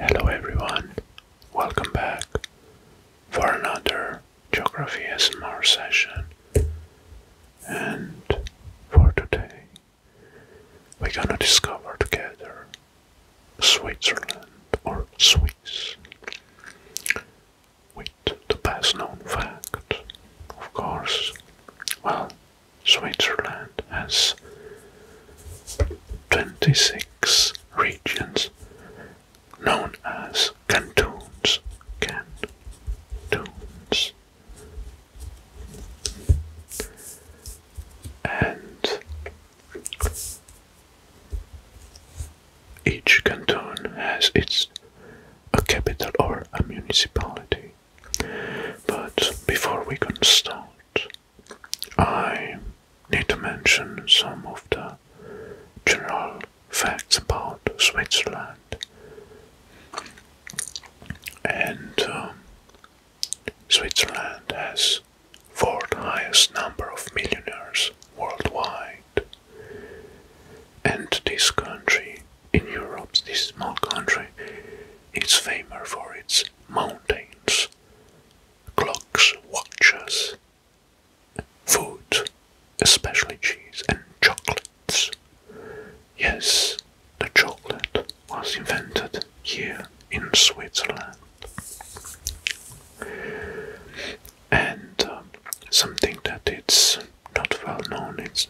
Hello everyone, welcome back for another Geography SMR session. And for today, we're gonna discover together Switzerland or Swiss with the best known fact, of course. Well, Switzerland has 26 regions known as cantons. Cantons. And each canton has its a capital or a municipality. But before we can start, I need to mention some of the general facts about Switzerland. And um, Switzerland has fourth highest number of millionaires worldwide. And this country in Europe, this small country, is famous for its mountains clocks, watches, food, especially cheese and chocolates. Yes, the chocolate was invented here in Switzerland. And um, something that it's not well known, is,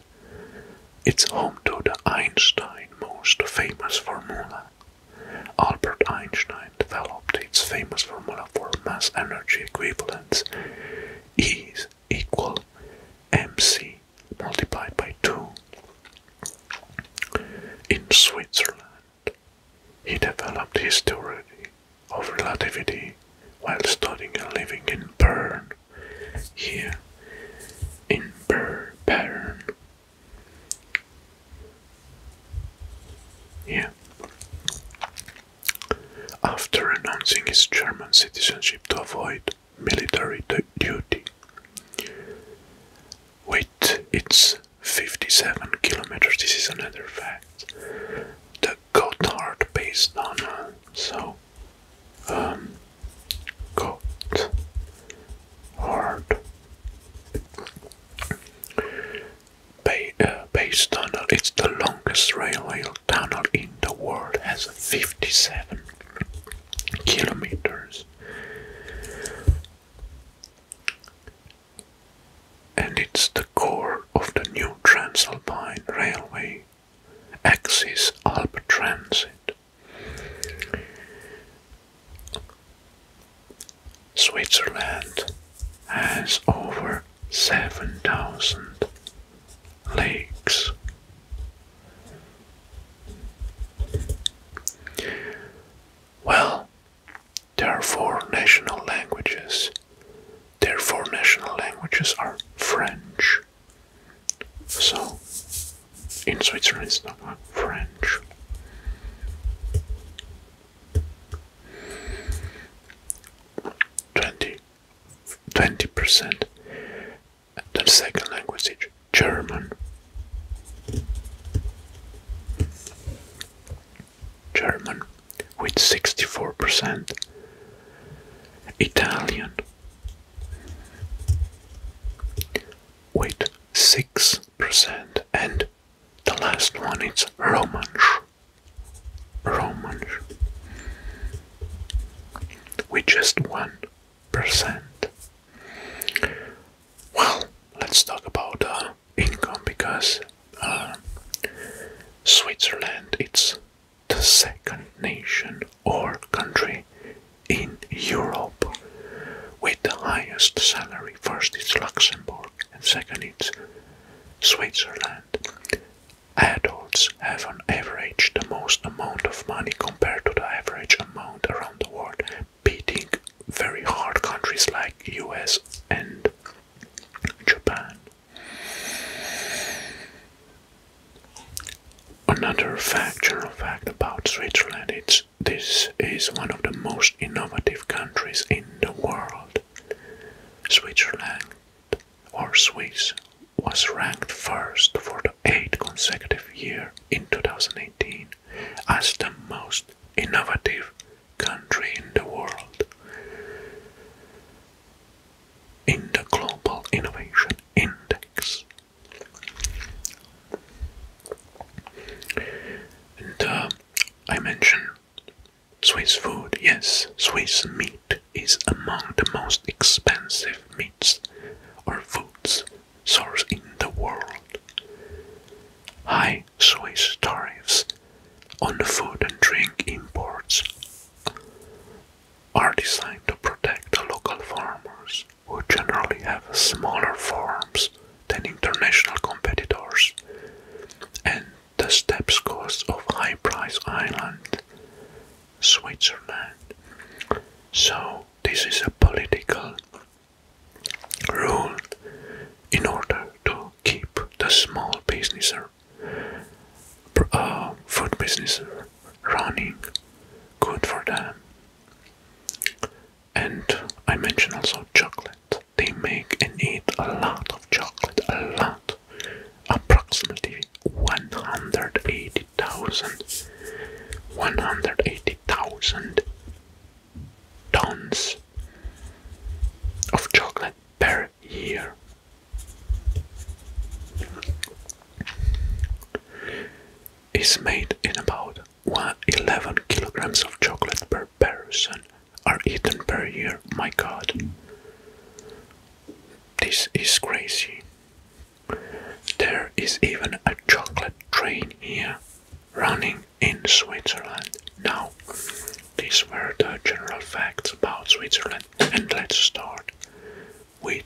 it's home to the Einstein, most famous formula. Albert Einstein developed its famous formula for mass energy equivalence E is equal mc multiplied by 2. In Switzerland, he developed his theory of relativity while studying and living in Bern. Here, in Bern, yeah. After announcing his German citizenship to avoid military duty, with its 57 kilometers, this is another fact. The Gotthard based on so um Gotthard Bay, tunnel. Uh, uh, it's the longest railway tunnel in the world. Has 57 kilometers, and it's the core of the new Transalpine railway axis Alp Transit. Switzerland has over 7,000 lakes. Well, there are four national languages. Their four national languages are French. So, in Switzerland it's not French. Twenty, twenty percent. The second language is German. German with 64%, Italian with 6 percent And the last one is Romansh. Romansh. With just 1%. Well, let's talk about uh, income because uh, Switzerland it's the second nation or country in Europe with the highest salary. First is Luxembourg and second is Switzerland. Adults have on average the most amount of money compared to the average amount around the world, beating very hard countries like US and Japan. Another fact, general fact about Switzerland is this is one of the most innovative countries in the world. Switzerland or Swiss was ranked first for the eighth consecutive year in 2018 as the most innovative country in the world. In the Global Innovation Index, uh, I mentioned Swiss food. Yes, Swiss meat is among the most expensive meats or foods source in the world. High Swiss tariffs on the food and drink imports are designed to protect local farmers who generally have smaller farms than international competitors, and the steps cost of High Price Island, Switzerland. So, this is a political rule in order to keep the small business uh, food business running good for them and I mentioned also chocolate. They make and eat a lot of chocolate, a lot. Approximately 180,000. 180,000 tons of chocolate per year. Is made in about 11 kilograms of chocolate per person are eaten per year. My god. This is crazy. There is even a chocolate train here running in Switzerland. Now, these were the general facts about Switzerland, and let's start with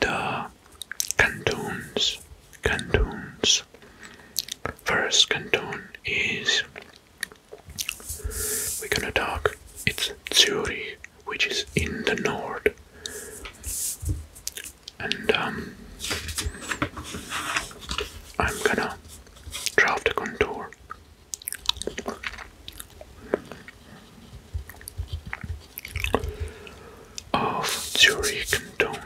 the cantons. Cantons. First canton is we're gonna talk. It's Zurich, which is in the north, and um, I'm gonna draw the contour of Zurich Canton.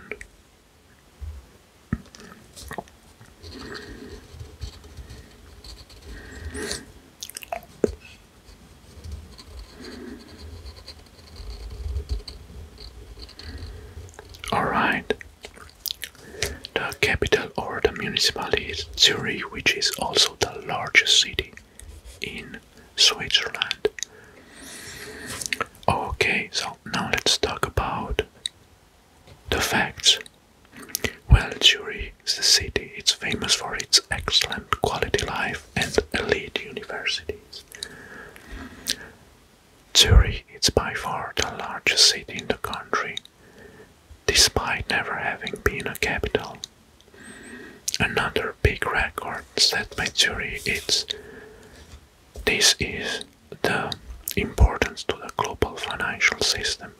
All right. The capital or the municipality is Zurich, which is also the largest city in Switzerland. Okay, so now let's talk about the facts. Well, Zurich is the city. It's famous for its excellent quality life and elite universities. Zurich is by far the largest city in the country, despite never having been a capital. Another big record set by Zurich is this is the importance to the global financial system.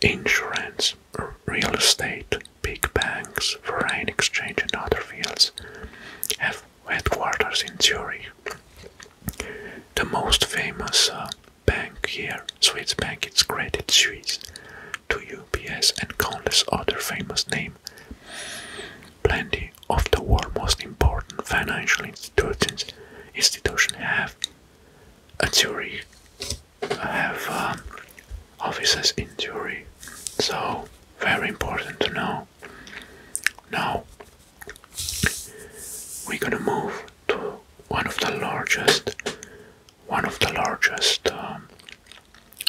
Insurance, real estate, big banks, foreign exchange and other fields have headquarters in Zurich. The most famous uh, bank here, Swiss bank, it's Credit Suisse, to UBS and countless other famous names Plenty of the world's most important financial institutions institution have a Zurich, have um, offices in Zurich, so very important to know. Now we're gonna move to one of the largest, one of the largest um,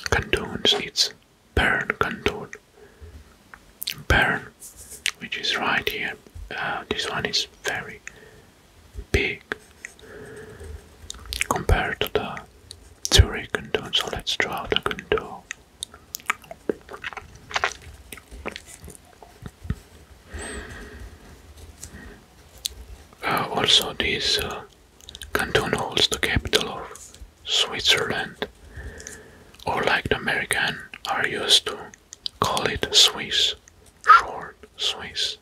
cantons. Bern canton. Bern, which is right here. Uh, this one is very big compared to the Zurich contour. So let's draw the contour. Uh, also, this. Uh, Canton holds the capital of Switzerland, or like the American are used to call it Swiss, short Swiss.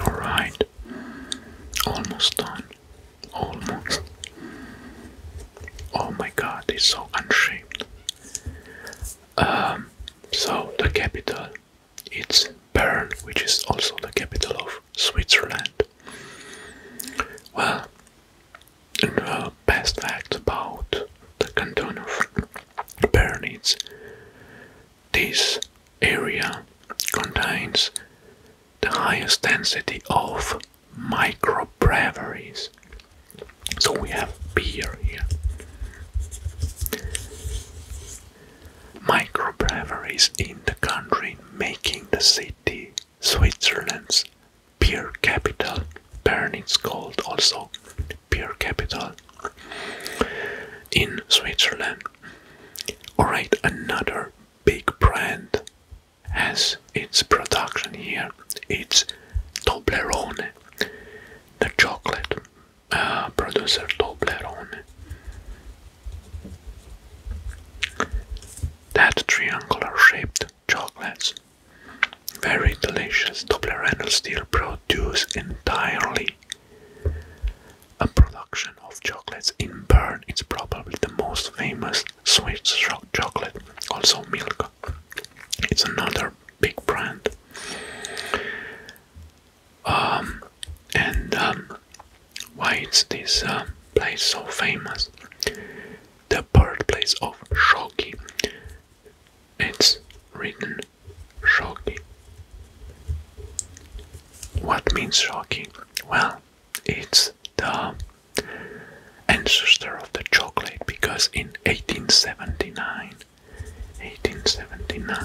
Alright, almost done. Almost. Oh my god, it's so unshaped. Um, so, the capital it's Bern, which is also the capital of Switzerland. Well, the best fact about the canton of Bern is this area contains the highest density of microbreweries. So we have beer here. Microbreweries in the country making the city Switzerland's beer capital. Bern is called also beer capital. In Switzerland, Alright, another big brand has its production here. It's Toblerone, the chocolate uh, producer Toblerone. That triangular shaped chocolates, very delicious. Toblerone still produce entirely and production of chocolates in Bern It's probably the most famous Swiss chocolate, also Milka. It's another big brand. Um, and um, why is this uh, place so famous? The birthplace of Shoki. It's written shocking. What means shocking? Well, it's the ancestor of the chocolate because in 1879 1879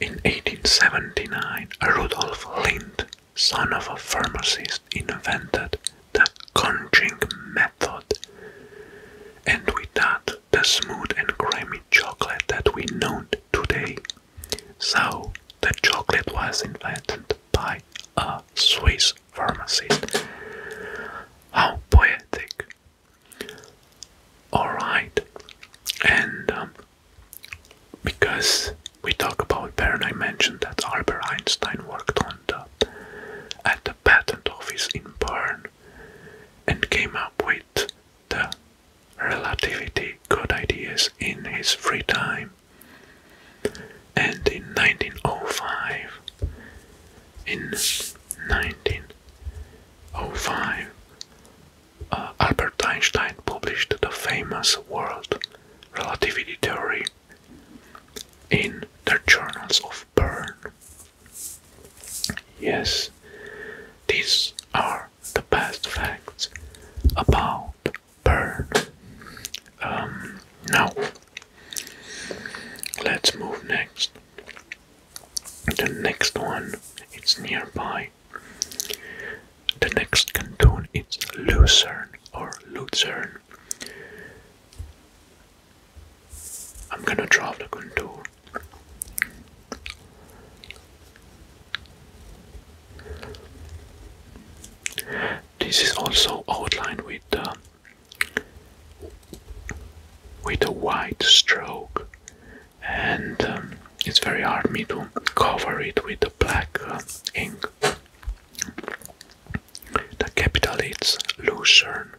in 1879 Rudolf Lind son of a pharmacist invented the conching method and with that the smooth and creamy chocolate that we know today. So the chocolate was invented by a Swiss pharmacist. How poetic! Alright, and um, because we talk about Bern, I mentioned that Albert Einstein worked on the at the patent office in Bern and came up with the relativity god ideas in his free time. And in 1905, in 1905, uh, Albert Einstein published the famous world relativity theory in the journals of burn. Yes, these are the best facts about burn. Um, now, let's move next. The next one, it's nearby. The next canton is Lucerne or Lucerne. I'm gonna draw the contour this is also outlined with uh, with a white stroke, and um, it's very hard me to cover it with a black uh, ink. The capital is Lucerne.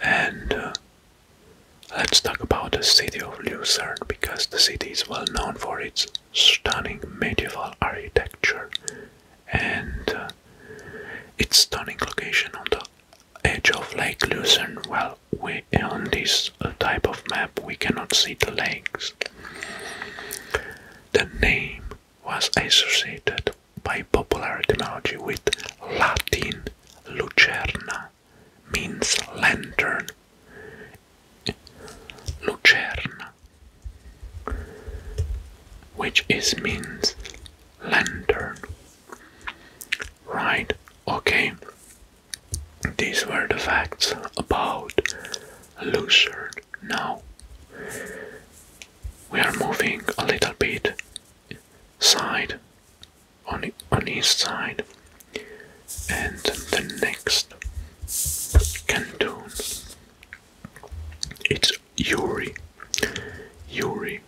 And uh, let's talk about the city of Lucerne because the city is well known for its stunning medieval architecture and uh, its stunning location on the edge of Lake Lucerne. Well, we, on this type of map we cannot see the lakes. The name was associated by popular etymology with Latin lucerna means lantern. Lucerna which is means lantern. Right, okay. These were the facts about Lucerne. Now we are moving a little bit side on on his side, and the next canton it's Uri. Uri.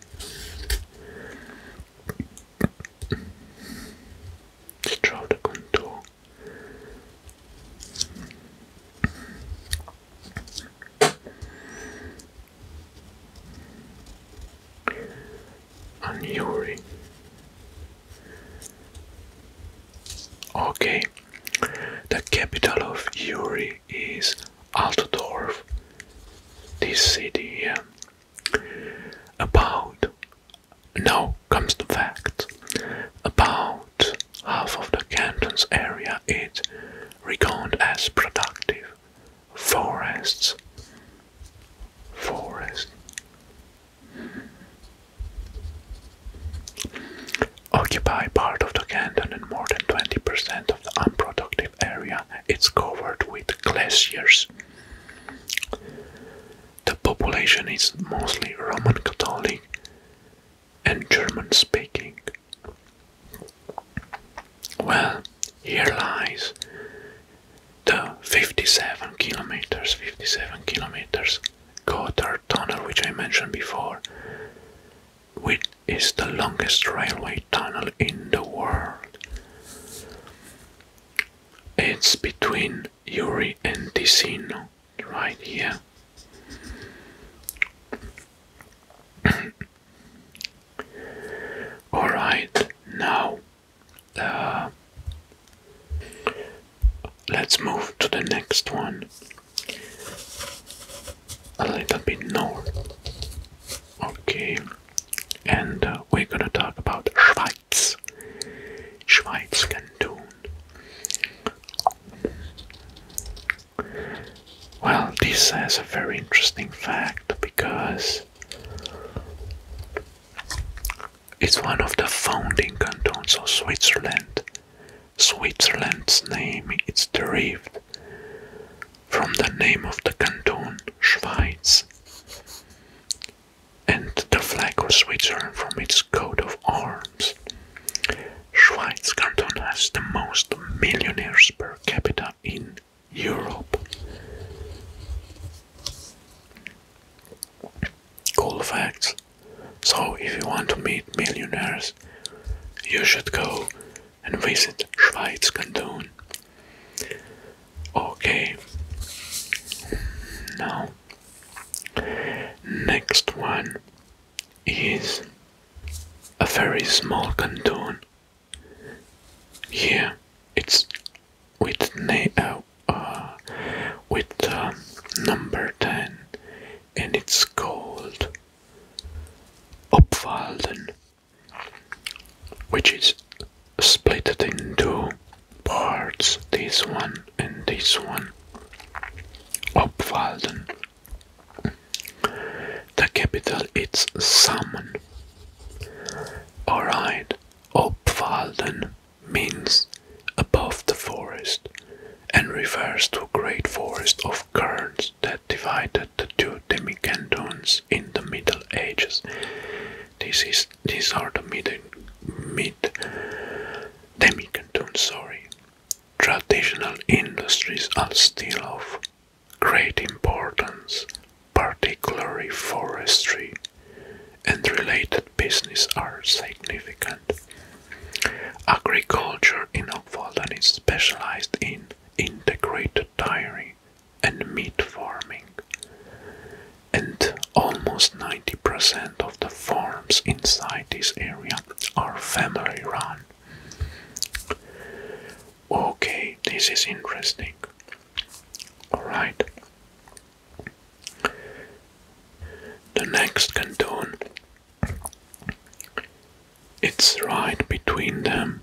Straude Contour and Yuri. Okay, the capital of Uri is Altdorf. This city here. About now comes the fact. About half of the canton's area is regarded as productive forests, forest. Occupy part of the canton and more than 20% of the unproductive area It's covered with glaciers. The population is mostly Roman Catholic and German speaking. Well, here lies the 57 kilometers, 57 kilometers Gotthard Tunnel, which I mentioned before, which is the longest railway tunnel in the world. It's between Uri and Ticino, right here. All right, now uh, let's move to the next one. A little bit north. Okay, and uh, we're gonna talk about Schweiz. Schweiz canton. Well, this is a very interesting fact because it's one of the founding cantons of Switzerland. Switzerland's name is derived from the name of the canton Schweiz and the flag of Switzerland from its coat of arms. Schweiz canton has the most millionaires per capita in Europe. Cool facts. So, if you want to meet millionaires, you should go and visit Schweizkanton. Okay. Now, next one is a very small canton yeah, it's with uh, uh, with uh, number ten, and it's called Opwalden, which is split it into parts. This one and this one. Opwalden. The capital is Saman. Alright, Opfalden means above the forest and refers to a great forest of kerns that divided the two demicantons in the Middle Ages. This is these are the mid, mid demicantons, sorry. Traditional industries are still of great importance, particularly forestry and related business are significant. Agriculture in Oppwalden is specialized in integrated dairy and meat farming, and almost 90% of the farms inside this area are family run okay, this is interesting. Alright. The next canton, it's right between them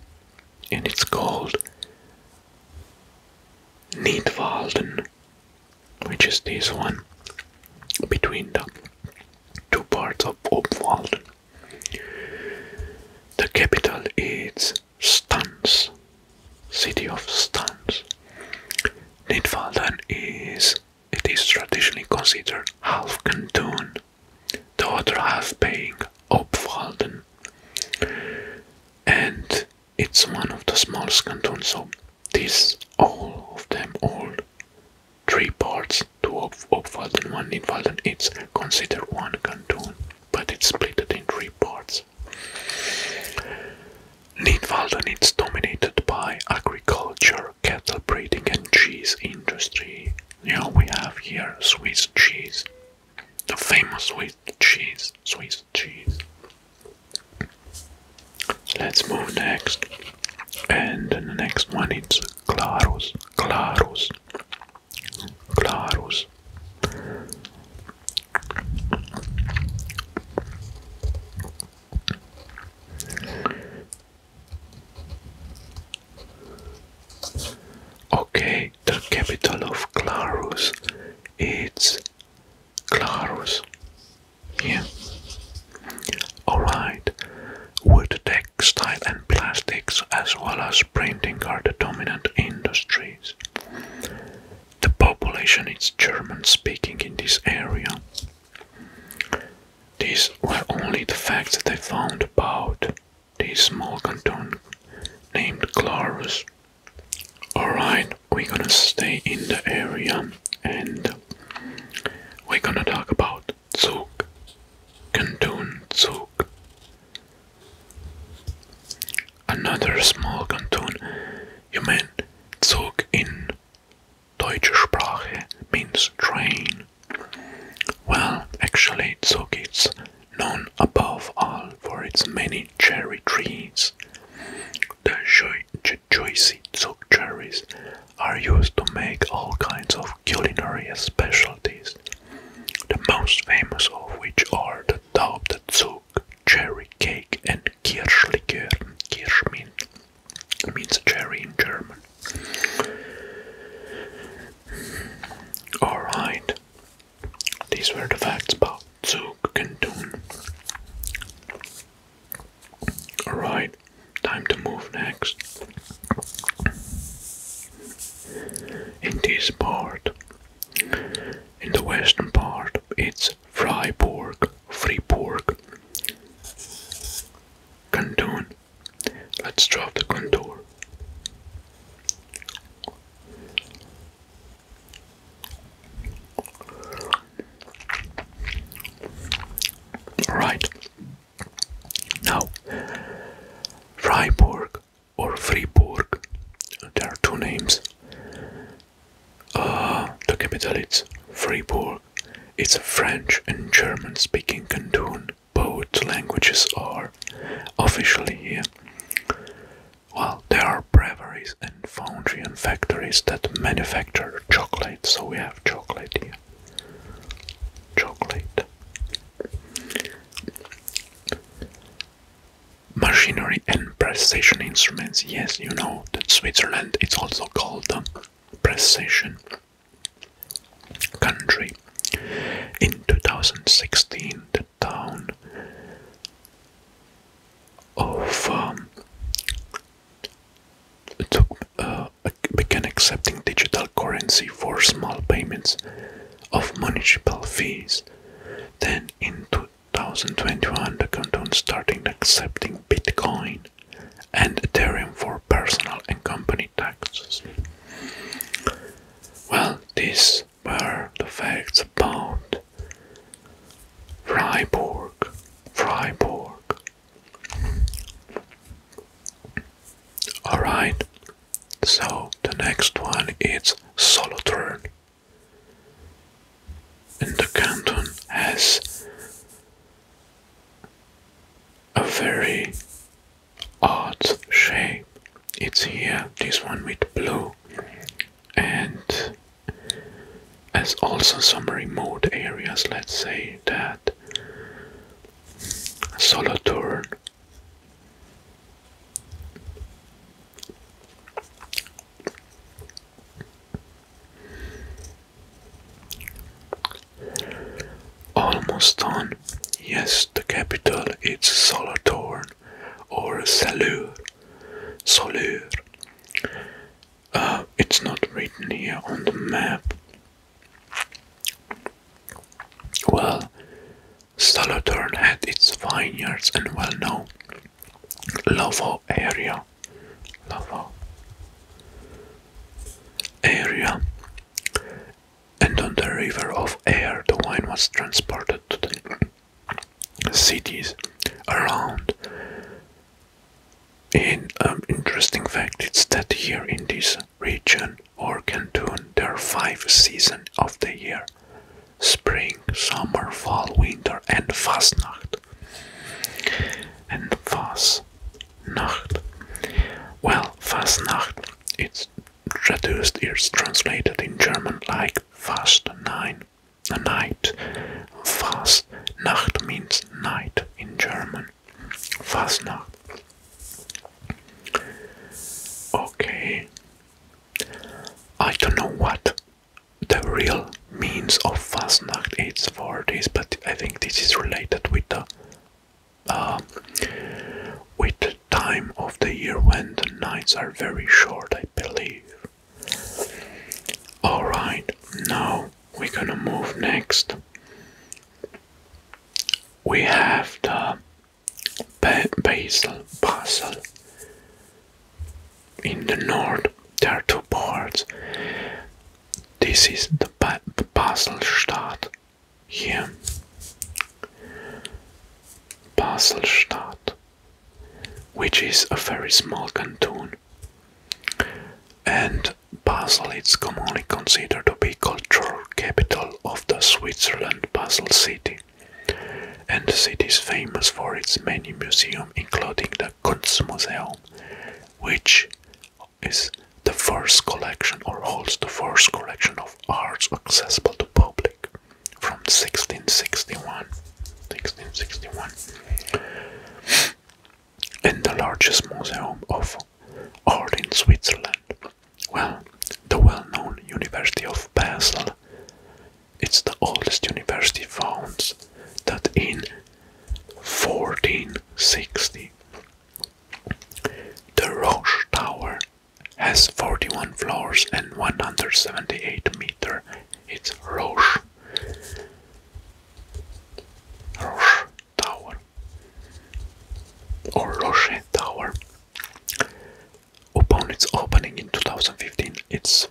and it's called Nidwalden, which is this one between the two parts of Obwalden. The capital is Stans, city of Stans. Nidwalden is, it is traditionally considered half canton, the other half being Opwalden. And it's one of the smallest cantons, so these all of them, all three parts, two of Opwalden, one Nidwalden, it's considered one canton but it's split in three parts. Nidwalden is dominated by agriculture, cattle breeding, and cheese industry. Now we have here Swiss cheese, the famous Swiss cheese. Swiss cheese. Let's move next, and the next one is Claros. Clarus. Clarus. Okay, the capital of Clarus it's Clarus. Yeah. Alright. Would textile and plastics as well as printing are the dominant industries. The population is German speaking in this area. These were only the facts they found about this small canton named Clarus. Alright, we're gonna stay in the area and we're gonna talk about Zug. Canton Zug. Another small canton, Yemen, Zug in Deutsche Sprache means train. Well, actually, Zug is known above all for its many cherry trees. The juicy Zug cherries are used to make all kinds of culinary specialties the most famous of which are the Taubdezug, cherry cake, and Kirschlikör. Kirsch mean, means cherry in German. Alright, these were the facts about Zug Canton. Alright, time to move next in this part. In the western part, it's Freiburg, Freiburg, Canton. Let's drop the contour. Right now, Freiburg or Fribourg. There are two names. Uh, the capital is Fribourg. It's a French and German speaking canton. Both languages are officially here. Well, there are breweries and foundry and factories that manufacture chocolate, so we have chocolate here. Chocolate. Machinery and precision instruments. Yes, you know that Switzerland is also called the precision country. In 2016, the town of um, took, uh, began accepting digital currency for small payments of municipal fees. Then in 2021, the canton started accepting Bitcoin and Ethereum for personal and company taxes. Well, these were the facts about Freiburg. Freiburg. Alright, so the next one is Solothurn. And the canton has a very odd shape. It's here, this one with blue, and as also some remote areas, let's say that Solothurn Almost done. Yes, the capital It's Solothurn or Salur. Solur. Uh, it's not written here on the map. Well, Solothurn had its vineyards and well-known Lavo area. Lavo area. And on the river of Air, the wine was transported to the cities around. In um, interesting fact, it's that here in this region, Canton or Canton their five seasons of the year spring, summer, fall, winter, and Fastnacht. And Fastnacht. Well, Fastnacht, it's traduced, it's translated in German like Fast Nine, a night. Fastnacht means night in German. Fastnacht. Okay. I don't know what the real means of fast night is for this, but I think this is related with the uh, with the time of the year when the nights are very short, I believe. Alright, now we're gonna move next. We have the Basel, Basel. In the north, there are two ports. This is the ba Baselstadt. Here, Baselstadt, which is a very small canton, and Basel is commonly considered to be cultural capital of the Switzerland Basel city. And the city is famous for its many museums, including the Kunstmuseum, which is the first collection or holds the first collection of arts accessible to public from 1661. 1661. And the largest museum of art in Switzerland. Well, the well-known University of Basel. It's the oldest university found that in 1460 the Roche Tower has 41 floors and 178 meter. It's Roche. Roche Tower or Roche Tower. Upon its opening in 2015, it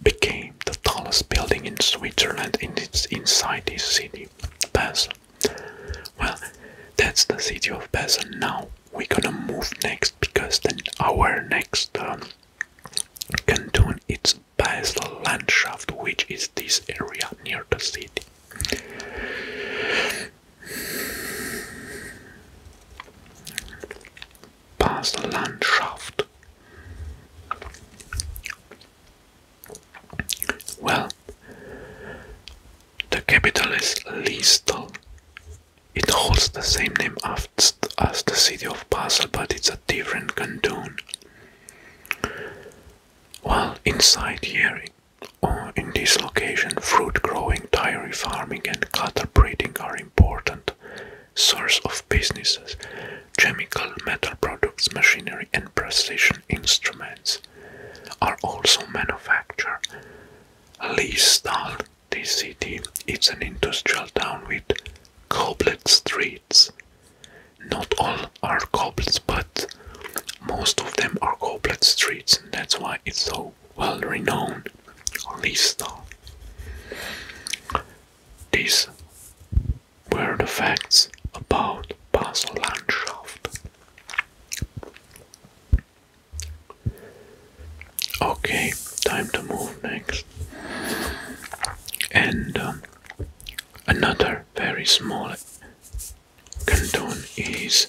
became the tallest building in Switzerland in its, inside this city, Basel. Well, that's the city of Basel. Now we're gonna move next because then our next um, canton is Basel Landschaft, which is this area near the city. Basel-Landschaft. Well, the capital is Liestal. It holds the same name as the city of Basel, but it's a different canton. Well, inside here in this location, fruit growing, dairy farming, and cattle breeding are important source of businesses, chemical, metal products, machinery, and precision instruments are also manufactured. Leestal, this city, it's an industrial town with cobbled streets. Not all are cobbled, but most of them are cobbled streets, that's why it's so well-renowned list. These were the facts about Basel Landschaft. Okay, time to move next. And um, another very small Canton is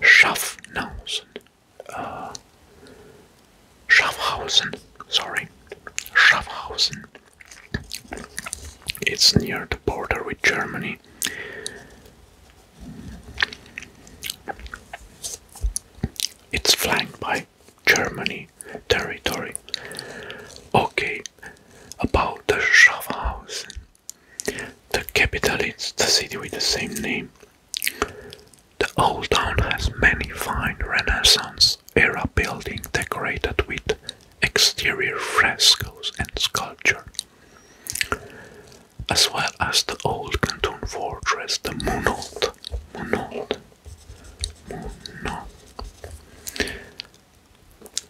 Schaffhausen. Uh, Schaffhausen, sorry. Schaffhausen. It's near the border with Germany. It's flanked by Germany territory. Okay, about the Schaffhausen the capital is the city with the same name. The old town has many fine Renaissance era buildings decorated with exterior frescoes and sculpture, as well as the old canton fortress, the Monot. Monot. Monot.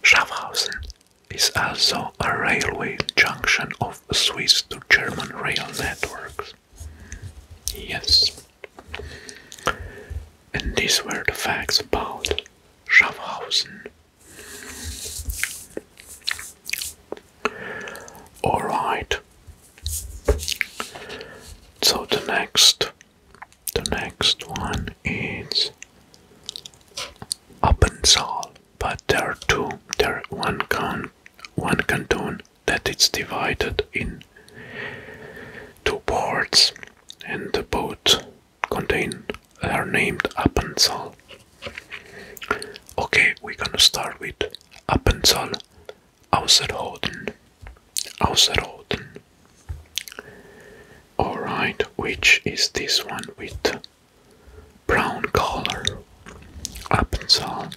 Schaffhausen is also a railway junction of Swiss to German rail networks. Yes. And these were the facts about Schaffhausen. Alright. So the next the next one is Appenzell but there are two. There are one count, one canton that it's divided in two parts, and the both contain are named Appenzell. Okay, we're gonna start with Appenzell Außerhoden. Außerhoden. Alright, which is this one with brown color. Appenzell,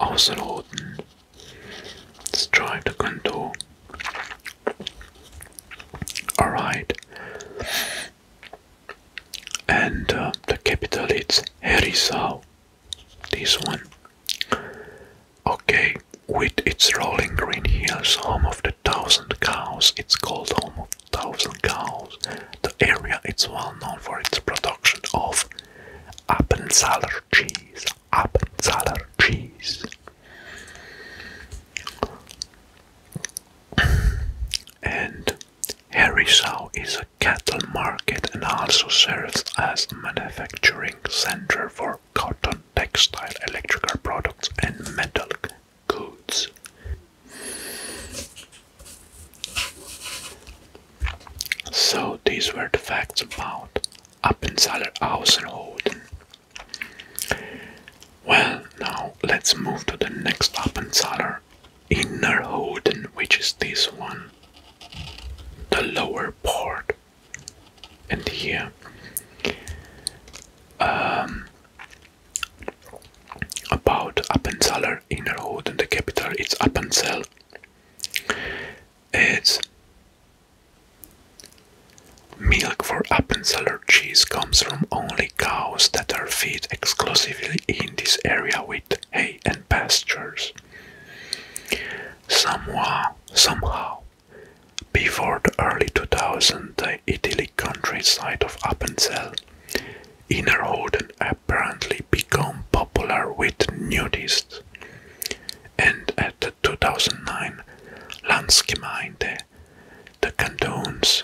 Außerhoden. Let's try the Condor. Alright. And uh, the capital is Herisau. This one. Okay, with its rolling green hills, home of the thousand cows, it's called home of thousand cows. The area is well known for its production of Appenzeller cheese. Appenzeller cheese. And Herisau is a cattle market and also serves as a manufacturing center for cotton, textile, electrical products, and metal codes. So these were the facts about Appenzeller-Außenhoden. Well, now let's move to the next Appenzeller Innerhoden, which is this one, the lower part. And here, um, about Appenzeller Innerhood and the capital it's Appenzell. It's milk for Appenzeller cheese comes from only cows that are fed exclusively in this area with hay and pastures. Somehow, somehow, before the early 2000s, the idyllic countryside of Appenzell Innerhoden apparently became popular with nudists, and at the 2009 Landsgemeinde, the canton's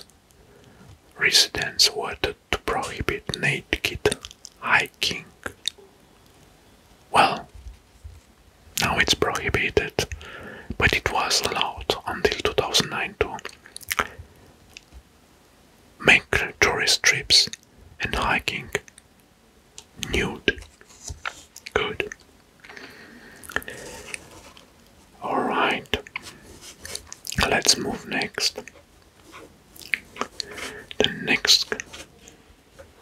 residents wanted to prohibit naked hiking. Well, now it's prohibited, but it was allowed until 2009 too make tourist trips and hiking nude. Good. Alright, let's move next. The next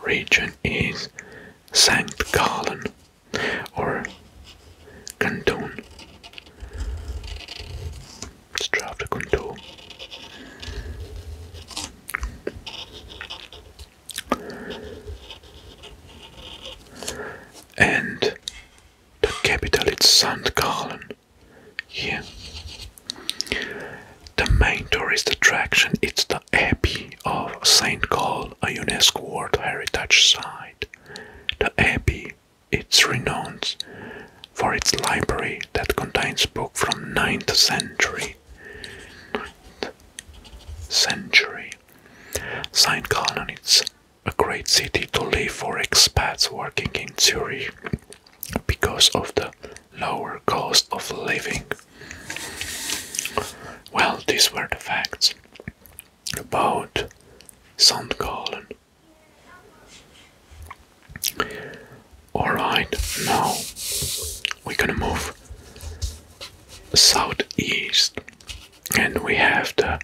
region is St. Gallen or Canton. Let's drive And the capital is St. Gallen. Yeah. The main tourist attraction is the Abbey of St. Gall, a UNESCO World Heritage Site. The Abbey it's renowned for its library that contains books from 9th century. century. St. Gallen is a great city to live for expats working in Zurich because of the lower cost of living. Well, these were the facts about St. Gallen. Alright, now we're gonna move southeast and we have the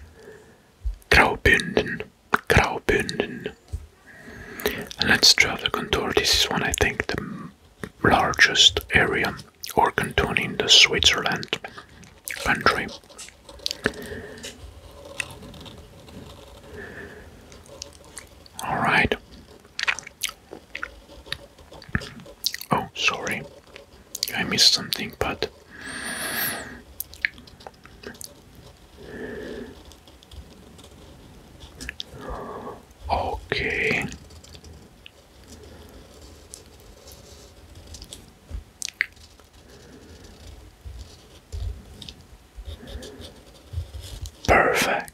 Graubünden. Graubünden. Let's draw the contour. This is one I think the largest area or canton in the Switzerland country. All right. Oh, sorry. I missed something, but Okay. Perfect.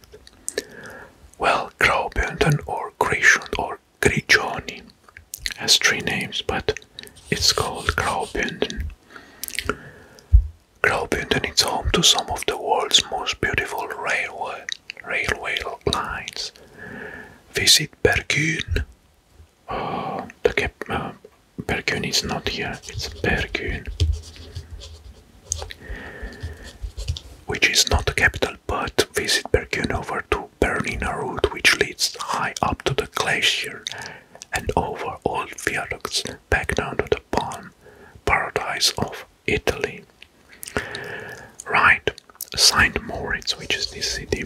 Well, Graubünden or Grishund or Grigioni has three names, but it's called Graubünden. Graubünden is home to some of the world's most beautiful railway railway lines. Visit Bergün Oh, the cap uh, is not here. It's Perkun, which is not the capital, but visit Perkun over to Bernina Road, which leads high up to the glacier and over all viaducts back down to the palm paradise of Italy. Right, Saint Moritz, which is this city.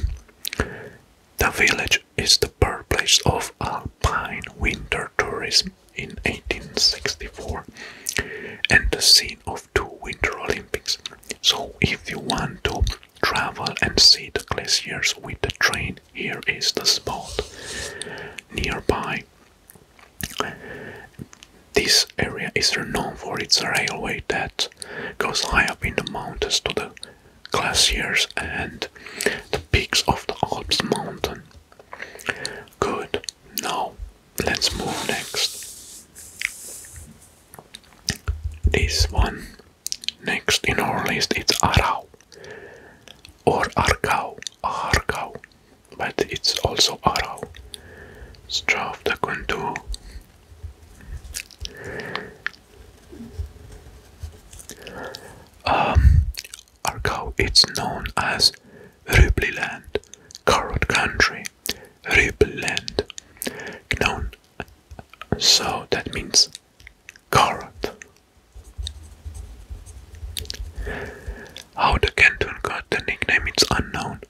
The village is the birthplace of alpine winter tourism in 1864 and the scene of two Winter Olympics. So, if you want to travel and see the glaciers with the train, here is the spot nearby. This area is renowned for its railway that goes high up in the mountains to the glaciers and the peaks of the Alps mountain. Good, now let's move next. This one next in our list it's Arau or Argau, Argau, but it's also Arau. Straf the Kundu. Um, it's known as Rubliland, Carrot Country, Rubliland, known. So that means carrot. How the Canton got the nickname is unknown.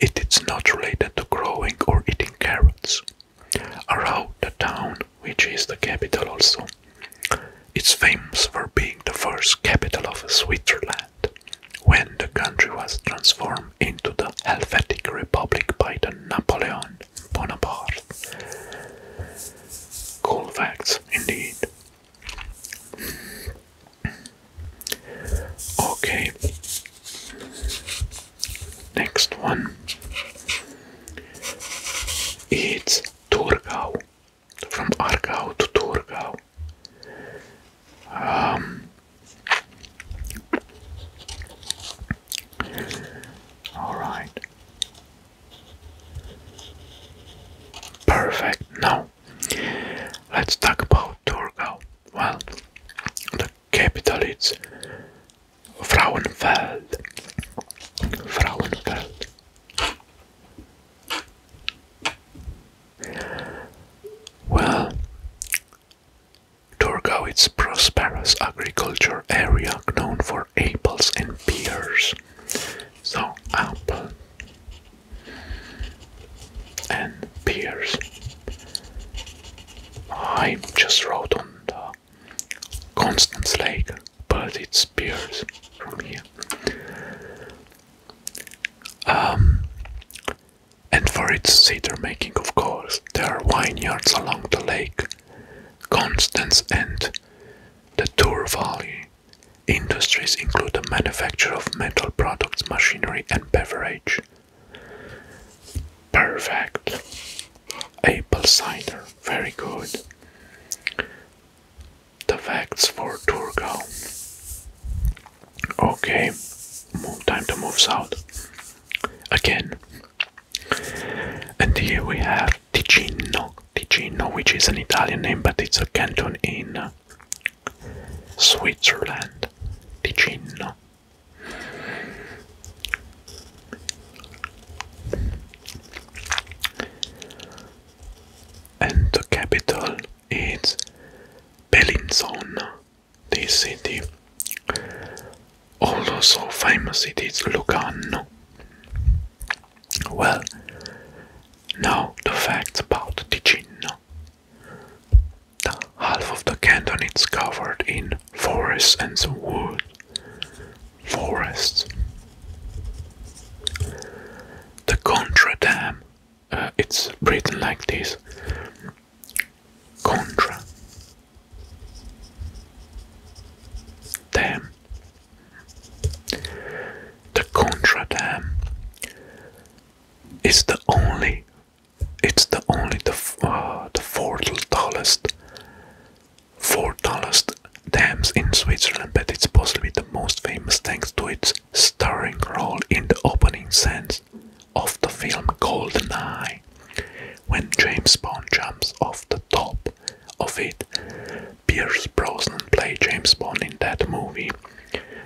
It is not related to growing or eating carrots. Around the town, which is the capital also, it's famous for being the first capital of Switzerland, when the country was transformed into the Helvetic Republic by the Napoleon Bonaparte. Cool facts, indeed. Okay. Next one. It's Turgau. From Argau to Turgau. Um, all right. Perfect. Now, let's talk about Turgau. Well, capital is Frauenfeld. Frauenfeld. Well, Torgau is a prosperous agriculture area known for apples and pears. So, apple and pears. I just wrote on the Constance Lake, but it's appears from here. Um, and for its cider making, of course, there are vineyards along the lake, Constance and the Tour Valley. Industries include the manufacture of metal products, machinery, and beverage. Perfect. Apple cider, very good. The facts for Turgo. Okay, time to move south. Again. And here we have Ticino. Ticino, which is an Italian name, but it's a canton in uh, Switzerland. Ticino. And the capital is Bellinzona, this city. Also famous it is Lugano. Well, now the facts about Ticino. The half of the canton is covered in forest and the wood. Forest. The Contra uh, it's written like this. Contra. Dam. The Contra is the only. It's the only the uh, the fourth tallest four tallest dams in Switzerland, but it's possibly the most famous thanks to its starring role in the opening scenes of the film GoldenEye, when James Bond jumps off the top of it. Pierce Brosnan played James Bond in that movie.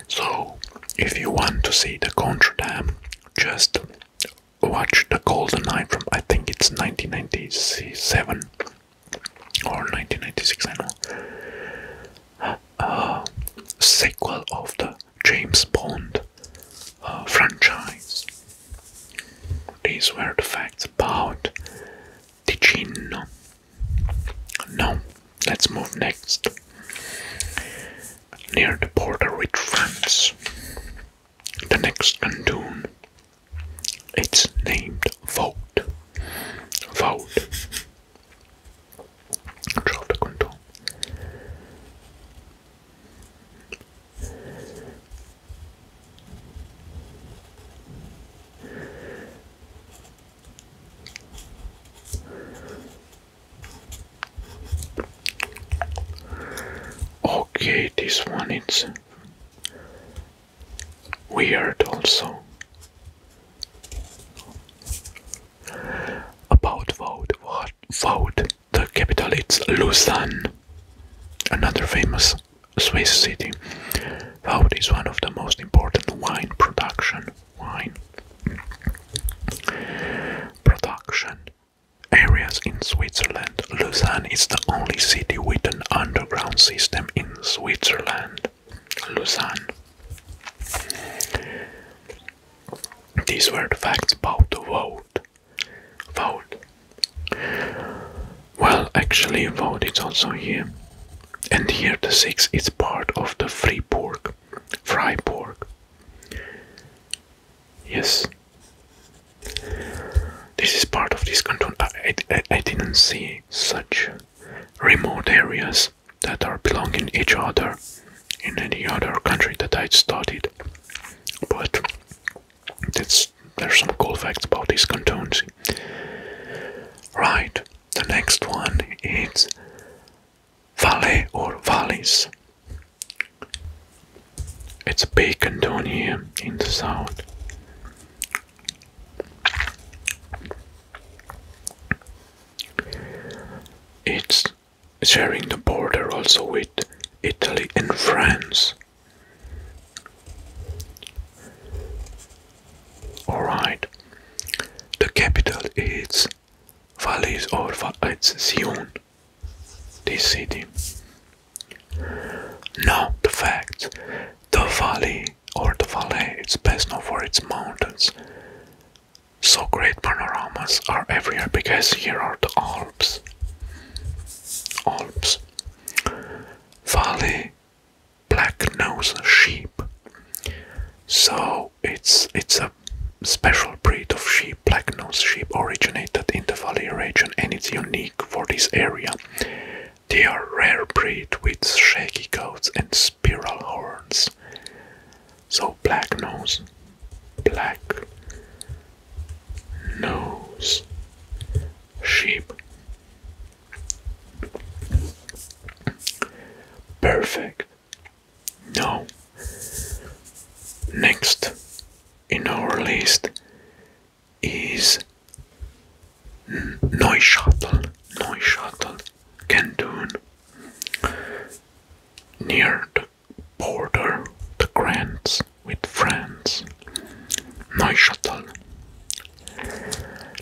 So, if you want to see the Contra Dam, just watched The Golden Eye from I think it's 1997 or 1996, I know. Uh, sequel of the James Bond uh, franchise. These were the facts about the Gino. Now, let's move next. Near the border with France, the next canton, it's named vote. Vote. Hetzelfde kanton. Okay, this one is weird also. About vote, what vote? The capital is Lausanne, another famous Swiss city. Vaud is one of the most important wine production. Wine production areas in Switzerland. Lausanne is the only city with an underground system in Switzerland. Lausanne. These were the facts about the vote. Vote. Well, actually, vote is also here. And here the 6 is part of the Freiburg. Freiburg. Yes. This is part of this canton. I, didn't see such remote areas that are belonging each other in any other country that I studied. But that's, there's some cool facts about these cantons. Right, the next one is valley or Valleys. It's bacon down here in the south. It's sharing the border also with Italy and France. Alright, the capital is Valais or Va it's Sion this city. No, the fact the valley or the valley It's best known for its mountains. So great panoramas are everywhere because here are the Alps. Alps. Valley black nose sheep. So it's it's a special breed of sheep black nose sheep, originated in the valley region and is unique for this area. They are rare breed with shaggy coats and spiral horns. So black nose, black nose sheep. Perfect. No. Next, in our list is Neuschattel, Neuschattel canton near the border, the grants with France. Neuchâtel.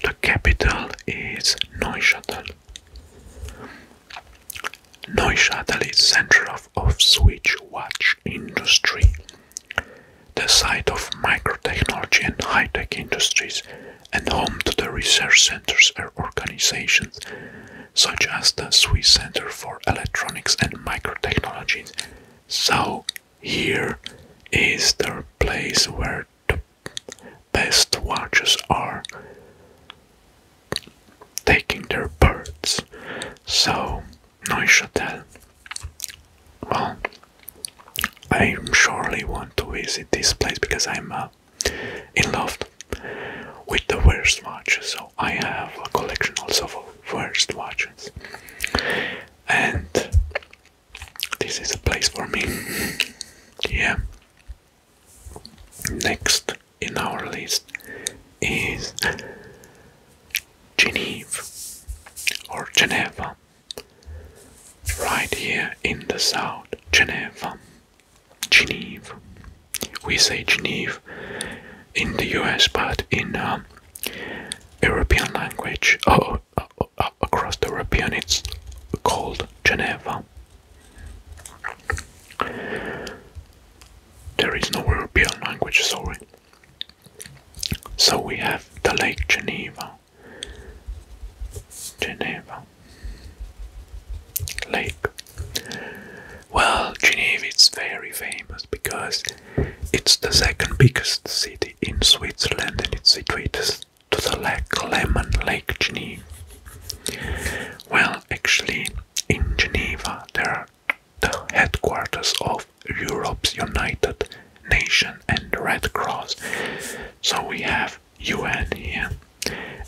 The capital is Neuchâtel. Neuchâtel is center of of Swiss watch industry. The site of microtechnology and high-tech industries and home to the research centers and organizations such as the Swiss Center for Electronics and Microtechnology. So here is the place where the best watches are taking their birds. So Neuchâtel. Well, I surely want to visit this place because I'm uh, in love with the worst watches. So I have a collection also of worst watches, and this is a place for me. yeah. Next in our list is Geneva or Geneva, right here in the south, Geneva, Geneva. We say Geneva in the US, but in um, European language, oh, oh, oh, across the European, it's called Geneva. There is no European language, sorry. So we have the Lake Geneva, Geneva, Lake. Well, Geneva is very famous because it's the second biggest city in Switzerland and it's situated to the Lake Lemon Lake Geneva. Well, actually, in Geneva there are the headquarters of Europe's United Nation and Red Cross. So we have UN here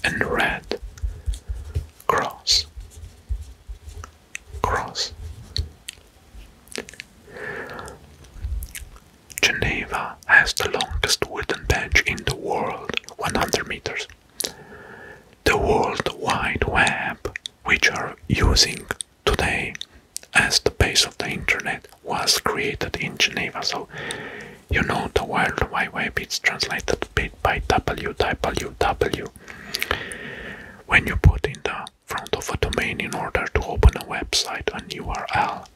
and Red Cross. Cross. Geneva has the longest wooden bench in the world, 100 meters. The World Wide Web which are using today as the base of the internet was created in Geneva. So you know the World Wide Web it's translated bit by W W W. When you put in the front of a domain in order to open a website an URL,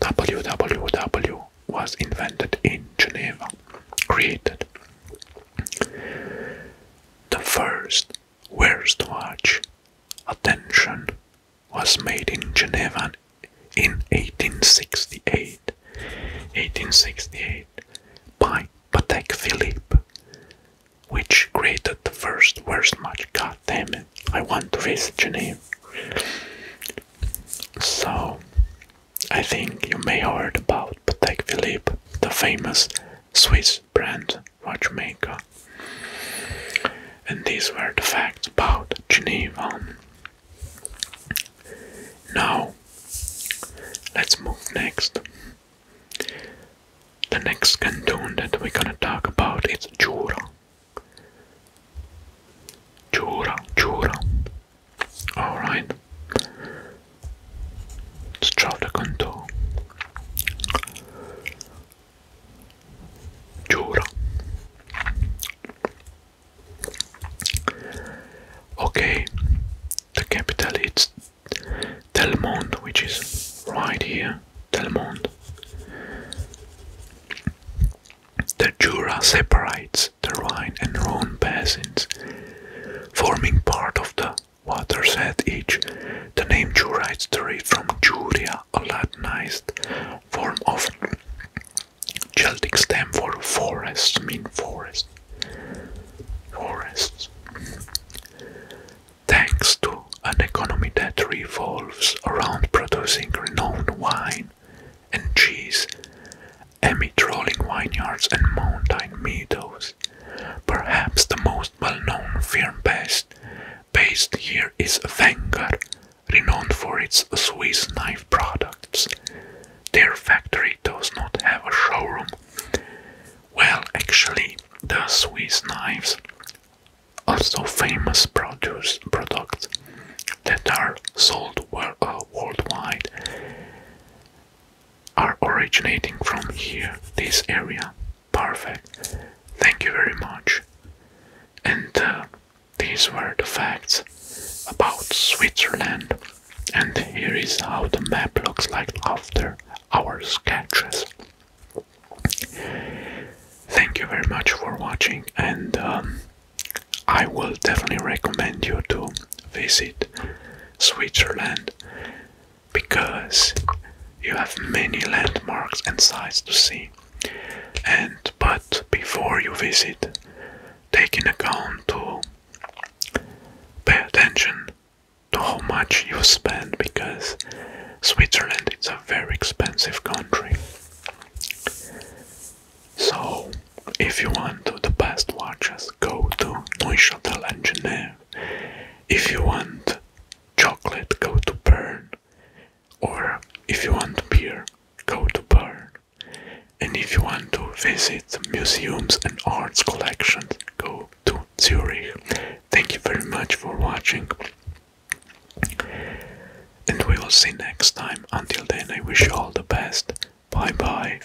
www was invented in Geneva, created. The first worst watch attention was made in Geneva in 1868. 1868 by Patek Philippe, which created the first worst watch. God damn it! I want to visit Geneva. So, I think you may heard about Patek Philippe, the famous Swiss brand watchmaker. And these were the facts about Geneva. Now, let's move next. The next canton that we're gonna talk about is Jura. Jura, Jura. Alright strada cantò giuro okay the capital is Telmont which is right here Telmont the Jura separates the Rhine and Rhone basins forming part of the waters had each. The name Jurites derived from Juria, a Latinized form of Celtic stem for forest, mean forest. Forests. Thanks to an economy that revolves around producing renowned wine and cheese, amid rolling vineyards and mountain meadows, Perhaps the most well-known firm based, here is Wenger, renowned for its Swiss knife products. Their factory does not have a showroom. Well, actually, the Swiss knives, also famous produce products that are sold uh, worldwide, are originating from here, this area. Perfect. Thank you very much. And uh, these were the facts about Switzerland. And here is how the map looks like after our sketches. Thank you very much for watching, and um, I will definitely recommend you to visit Switzerland because you have many landmarks and sights to see. And but before you visit, take in account to pay attention to how much you spend because Switzerland is a very expensive country. So if you want to the best watches go to Neuchâtel and Genève. If you want chocolate, go to Bern. Or if you want beer, go to Bern. And if you want to visit museums and arts collections, go to Zurich. Thank you very much for watching. And we will see next time. Until then, I wish you all the best. Bye bye.